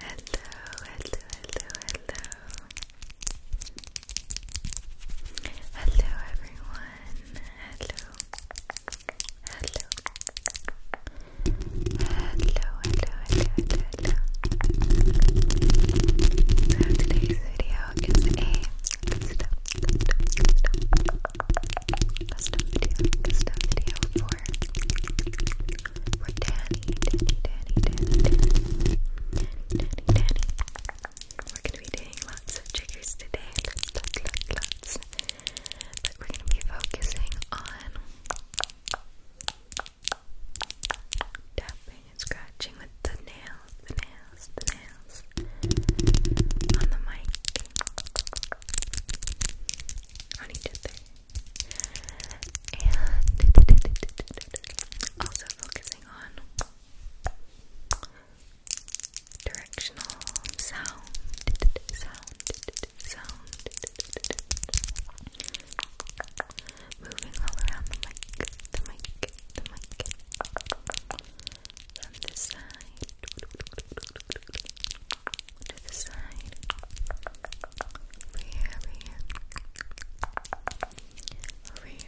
hello, hello. Hello, everyone. Hello. Hello. Hello, hello, hello, hello, hello. So today's video is a good stuff, good stuff, good stuff, Custom video, custom video for for Danny, Danny, Danny, Danny, Danny, Danny, Danny. We're gonna be doing lots of triggers today. Lots, lots, lots, lots. But we're gonna be focusing on tapping and scratching with the nails, the nails, the nails on the mic on each other. And also focusing on directional sound, sound, sound, moving all around the mic, the mic, the mic from this side to the side over here, over here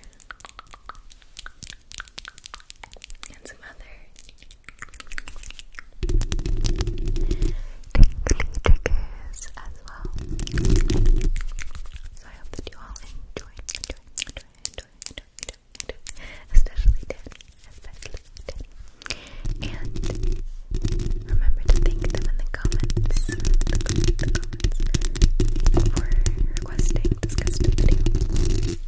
and some other tingly triggers as well so I hope that you all enjoy, Especially Danny. Especially Danny. And remember to thank them in the comments. for requesting this custom video.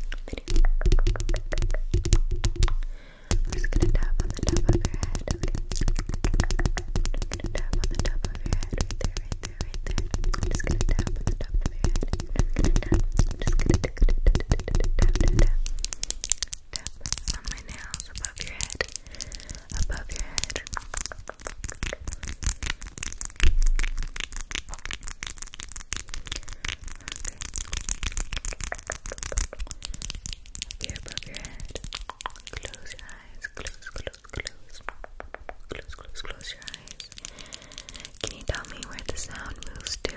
I'm just gonna tap on the top of your head, tap on the top of your head right there, right there, right there. I'm just gonna tap on the top of your head on my nails above your head, above your head. above your head. Close your eyes. Close, close, close. Close, close, close your eyes. Can you tell me where the sound moves to?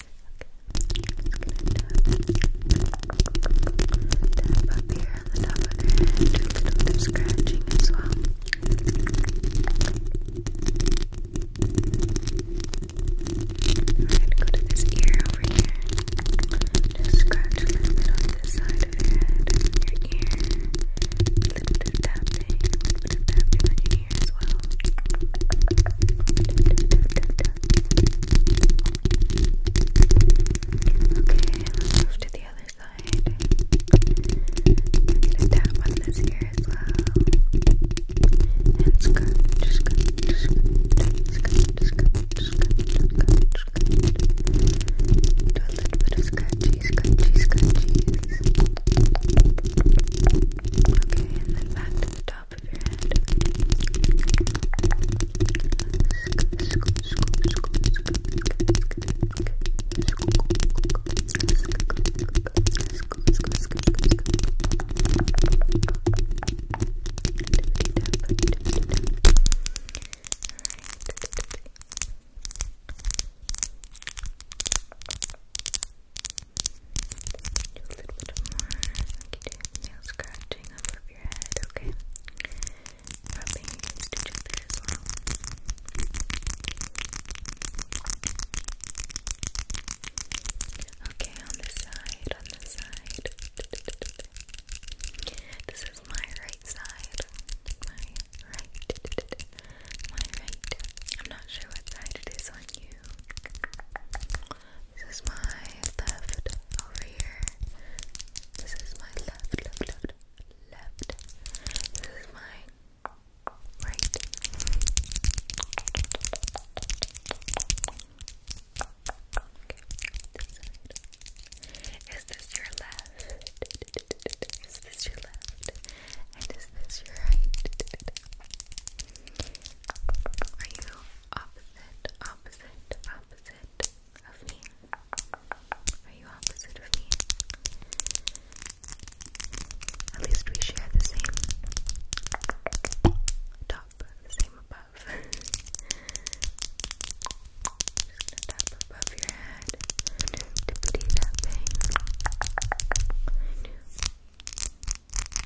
tap up here on the top of their head, do a little bit of scratching as well. we go to this ear over here. Just scratch a little side of your head, your ear. little bit of tapping, little bit of tapping on your ear as well. Okay, let's move to the other side. We're gonna tap on this here as well. And scrunch, scrunch, scrunch, scrunch, scrunch, scrunch, scrunch. Do a little bit of scratchy, scratchy, scratchies. Okay, and then back to the top. top of your head. Do a little bit more. Okay, nail scratch. okay? Rubbing against each as well. Okay, on this side, on this side. This is my right side. My right. My right. I'm not sure what side it is on you. This is my left over here. This is my left, left, left, left. This is my right. Is this your left? Is this your left? And is this your right? Are you opposite? opposite, opposite of me? Are you opposite of me? At least we share the same top, the same above. Just gonna above your head. Tippity tapping.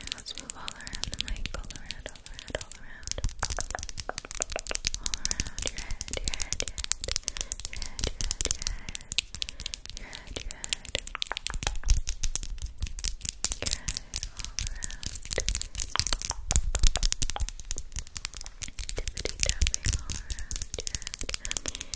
And let's move all around the mic, all around, all around, all around. All around your head, your head, your head, your head, your head, your head, your head, all around. Tippity tapping all around your head.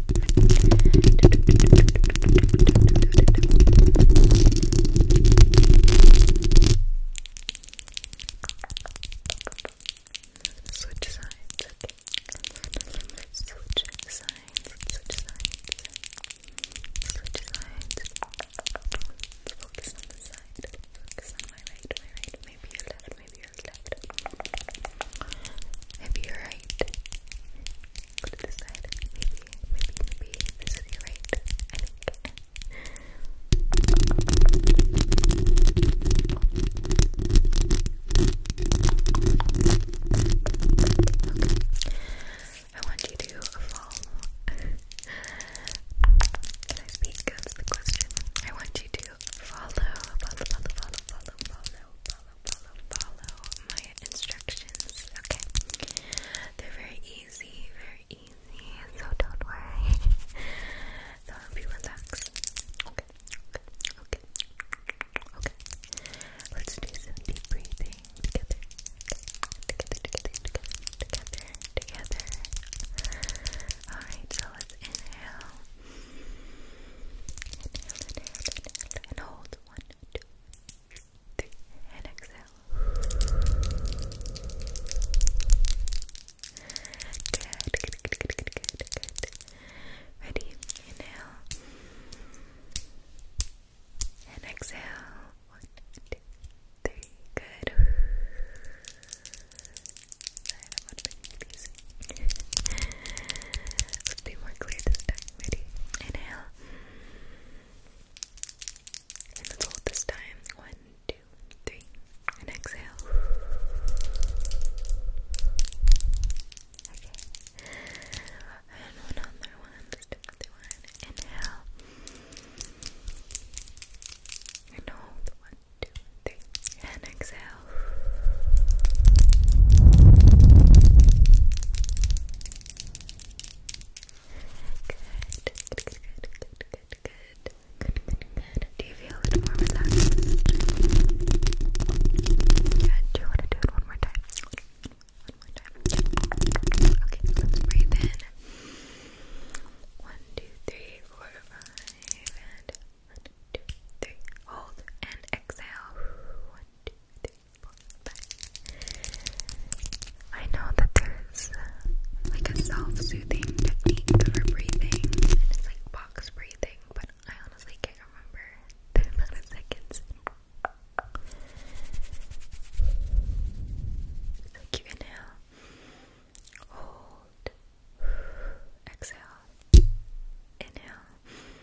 Switch sides. Okay. Switch sides. Switch sides. Switch sides. Focus on the side. Focus on my right, my right, maybe your left, maybe you're left. Maybe you're right. Go to this side. Maybe, maybe, maybe this is right. I Okay. I want you to follow. Can I speak? That's the question. I want you to follow, follow, follow, follow, follow follow, follow, follow, my instructions, okay? They're very easy, very easy, so don't worry. so if you relax, okay, okay, okay, okay. Let's do some deep breathing together, together, together, together, together, together. Alright, so let's inhale. Inhale, inhale, inhale, and hold. One, two, three, and exhale. Good, good, good, good, good, good, Ready? Inhale. And exhale. One, two, three. Good. Let's be more clear this time. Ready? Inhale. And hold this time. One, two, three. And exhale. Okay. And one one. another one. Inhale. And hold. One, two, three. And exhale. Good, good, good, good, good. Good, good, Do you feel a little more relaxed? Good. Do you want to do it one more time? One more time. Okay, let's breathe in. One, two, three, four, five, and one, two, three. Hold and exhale. One, two, three, four, five. I know that there's uh, like a self-soothing technique for breathing, and it's like box breathing, but I honestly can't remember the amount seconds. It's inhale, hold, exhale, inhale.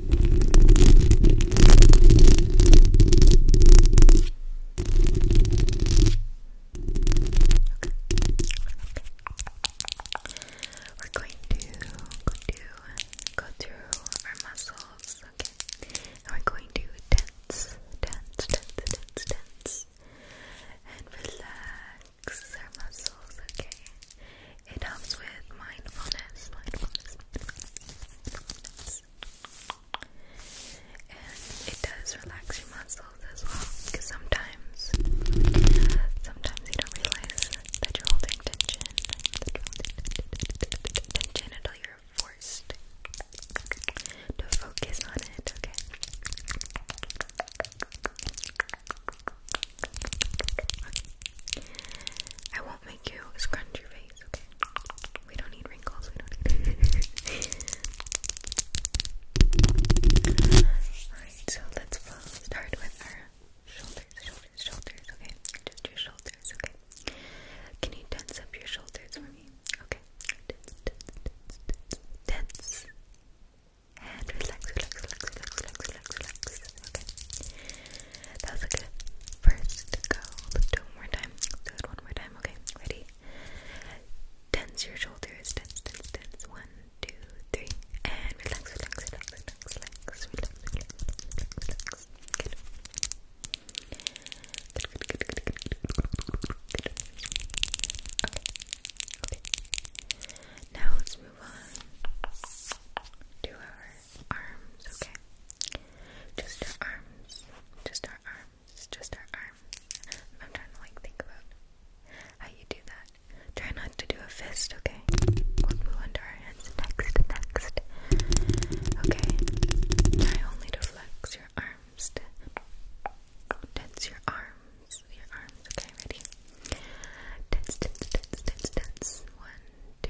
We're going to go through our muscles, okay? And we're going to tense, tense, tense, tense, tense, and relax our muscles, okay? It helps with mindfulness. And it does relax your muscles as well, because sometimes, sometimes you don't realize that you're holding tension, that you tension until you're forced to focus on it, okay? I won't make you scrunch your face, okay? We don't need wrinkles, we don't need Alright, so let's start with our shoulders, shoulders, shoulders, okay? Just your shoulders, okay? Can you tense up your shoulders for me? Okay. Tense, tense, tense, tense, tense. And relax, relax, relax, Okay. That was a good first go. do one more time. do it one more time. Okay, ready? Tense your shoulders. Tense, tense, tense. One, two, three. And relax, relax, relax, relax, relax, relax, relax, relax. Okay, okay. Now let's move on to our arms, okay? Just our arms, just our arms, just our arms. I'm trying to like think about how you do that. Try not to do a fist, okay? We'll move on to our hands next, next. Okay. Try only to flex your arms, tense your arms, your arms, okay, ready? Tense, tense, tense, tense, tense. One, two,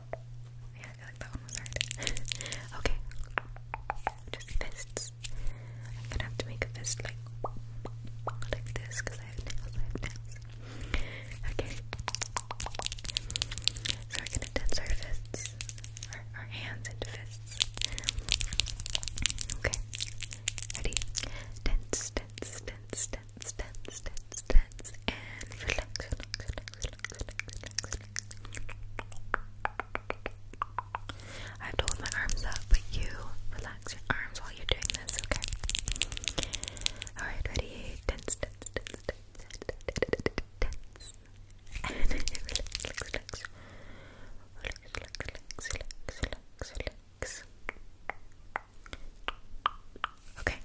Yeah, I feel like that one was hard. okay. Just fists. I'm gonna have to make a fist like like this because I have nails, I have nails. Okay. So we're gonna tense our fists. Our, hands into fists. Okay. Ready? Tense, tense, tense, tense, tense, tense, tense, and relax, relax, relax, relax, relax, relax. I have to hold my arms up, but you relax your arms while you're doing this, okay? Alright, ready? Tense, tense, tense, tense, tense, tense. And relax, relax, relax. Relax, relax, relax, relax, relax. Okay,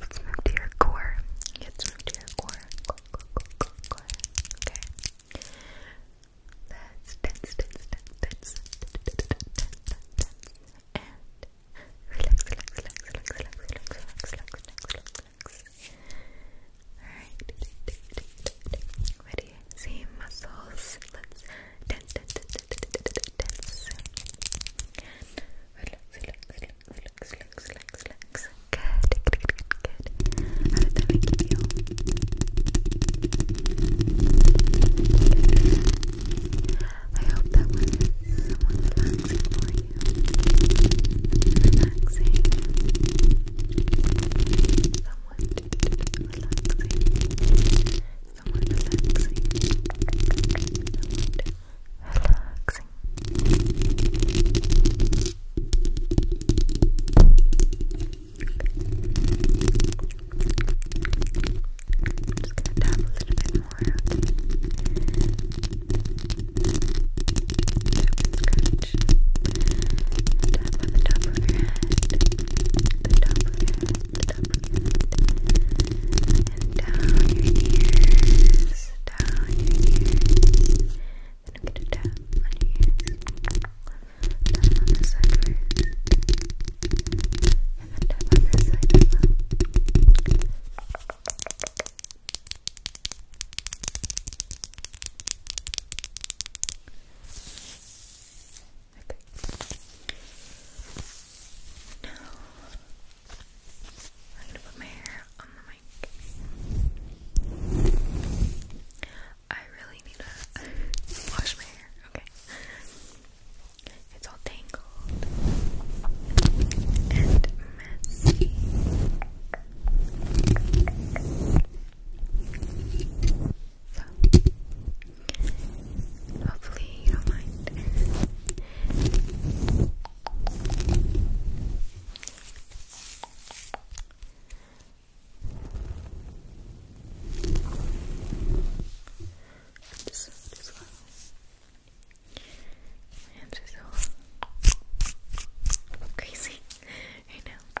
Let's move to your core. Let's move to your core. Okay. Let's tense, tense, tense, tense, tense, tense, tense, and relax, relax, relax, relax, relax, relax, relax, relax, relax, relax. All right. Ready? Same muscles. Let's tense, Good, good, good, How did that make you I hope that was somewhat relaxing for you. Relaxing. Somewhat Someone relaxing. relaxing. I'm just gonna tap a little bit more out. Tap and scratch. Tap on the top of your head. The top of your head and down your ears, down your ears. Then on your side and then tap on this side as well. Okay, I'm gonna put my hair on the mic. I really need to wash my hair, okay? It's all tangled and messy. So, Hopefully, you don't mind. hands are so crazy right now.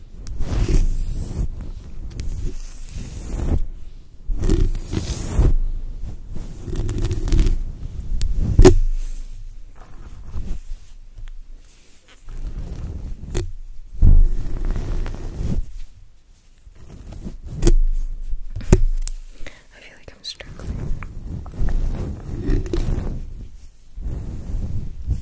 I feel like I'm struggling.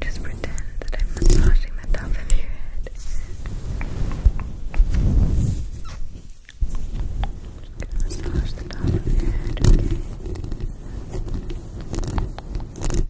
Just pretend that I'm massaging the top of your head. massage the top of your head, okay?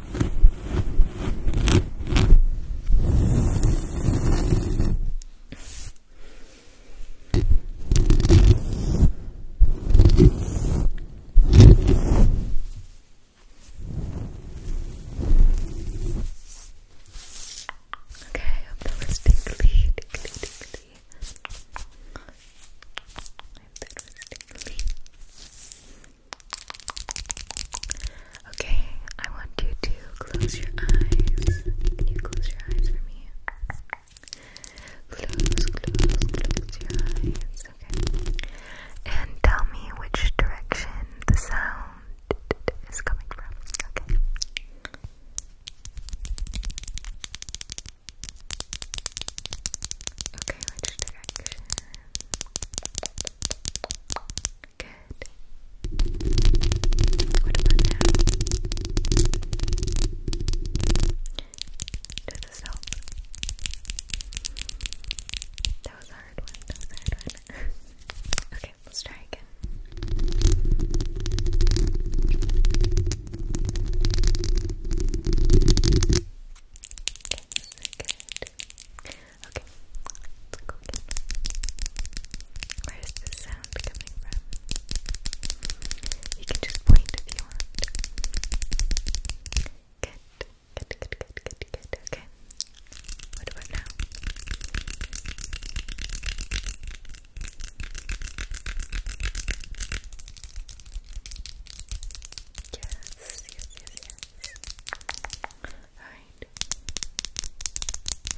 Okay, I hope that was tingly, tingly, tingly. I hope that was tingly. Okay, I want you to close your eyes. Can you close your eyes for me? Close, close, close your eyes. Okay. And tell me which direction the sound is coming from. Okay. Okay, which direction? Good. What about now? Does this help? That was hard one. That was hard one. okay, let's try again. Okay, this good. Okay, let's go Where is the sound coming from? You can just point if you want. Good, good, good, good, good, good. Okay. What about now? Yes, yes, yes, yes. Alright.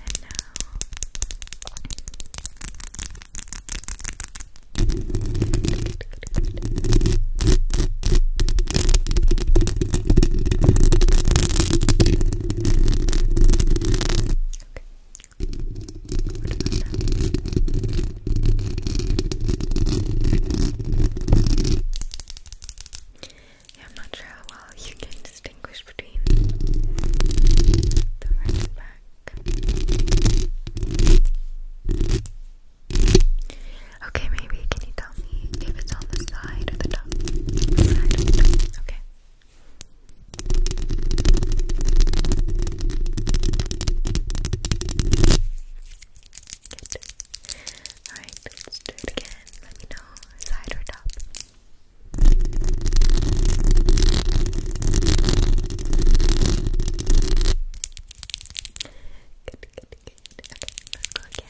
And now. Okay. What about now? Yeah, I'm not sure how well you can distinguish between the front back. Okay, maybe can you tell me if it's on The side or the top. Okay. Alright, let's do it again. Let me know side or top. Good, good, good. Okay, let's go again. Yes.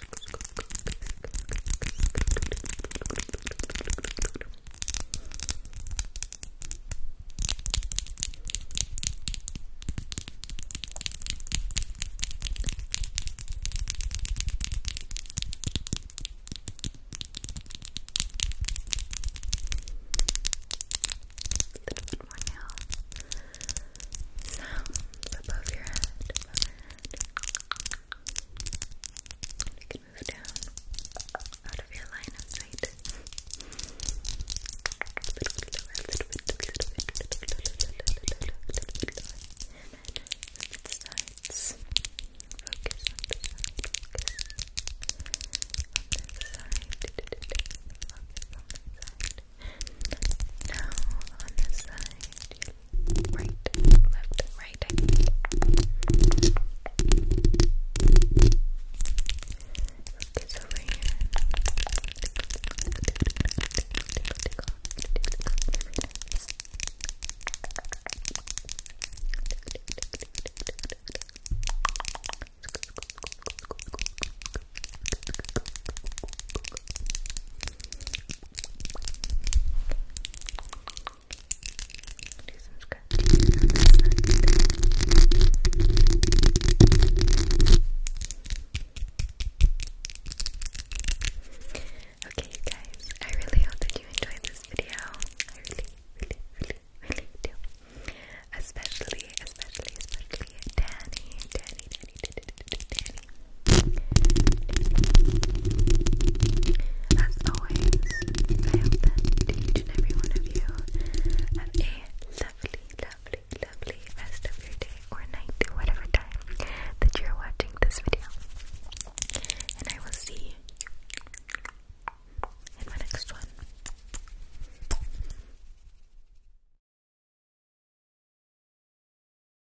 little bit more now. Sounds above your head, above your head. We can move down out of your line of sight. A little bit lower, a little bit, a little bit, the sides. Focus on the side. Focus on this side. Focus on this side. Now on this side, your right, left, right. Focus over here. Do Okay, you guys, I really hope that you enjoyed this video. I really, really, really, do. Especially, especially, especially Danny, Danny, Danny, Danny, Danny as always, I hope that each and every one of you have a lovely, lovely, lovely rest of your day or night, whatever time that you're watching this video. And I will see you in my next one.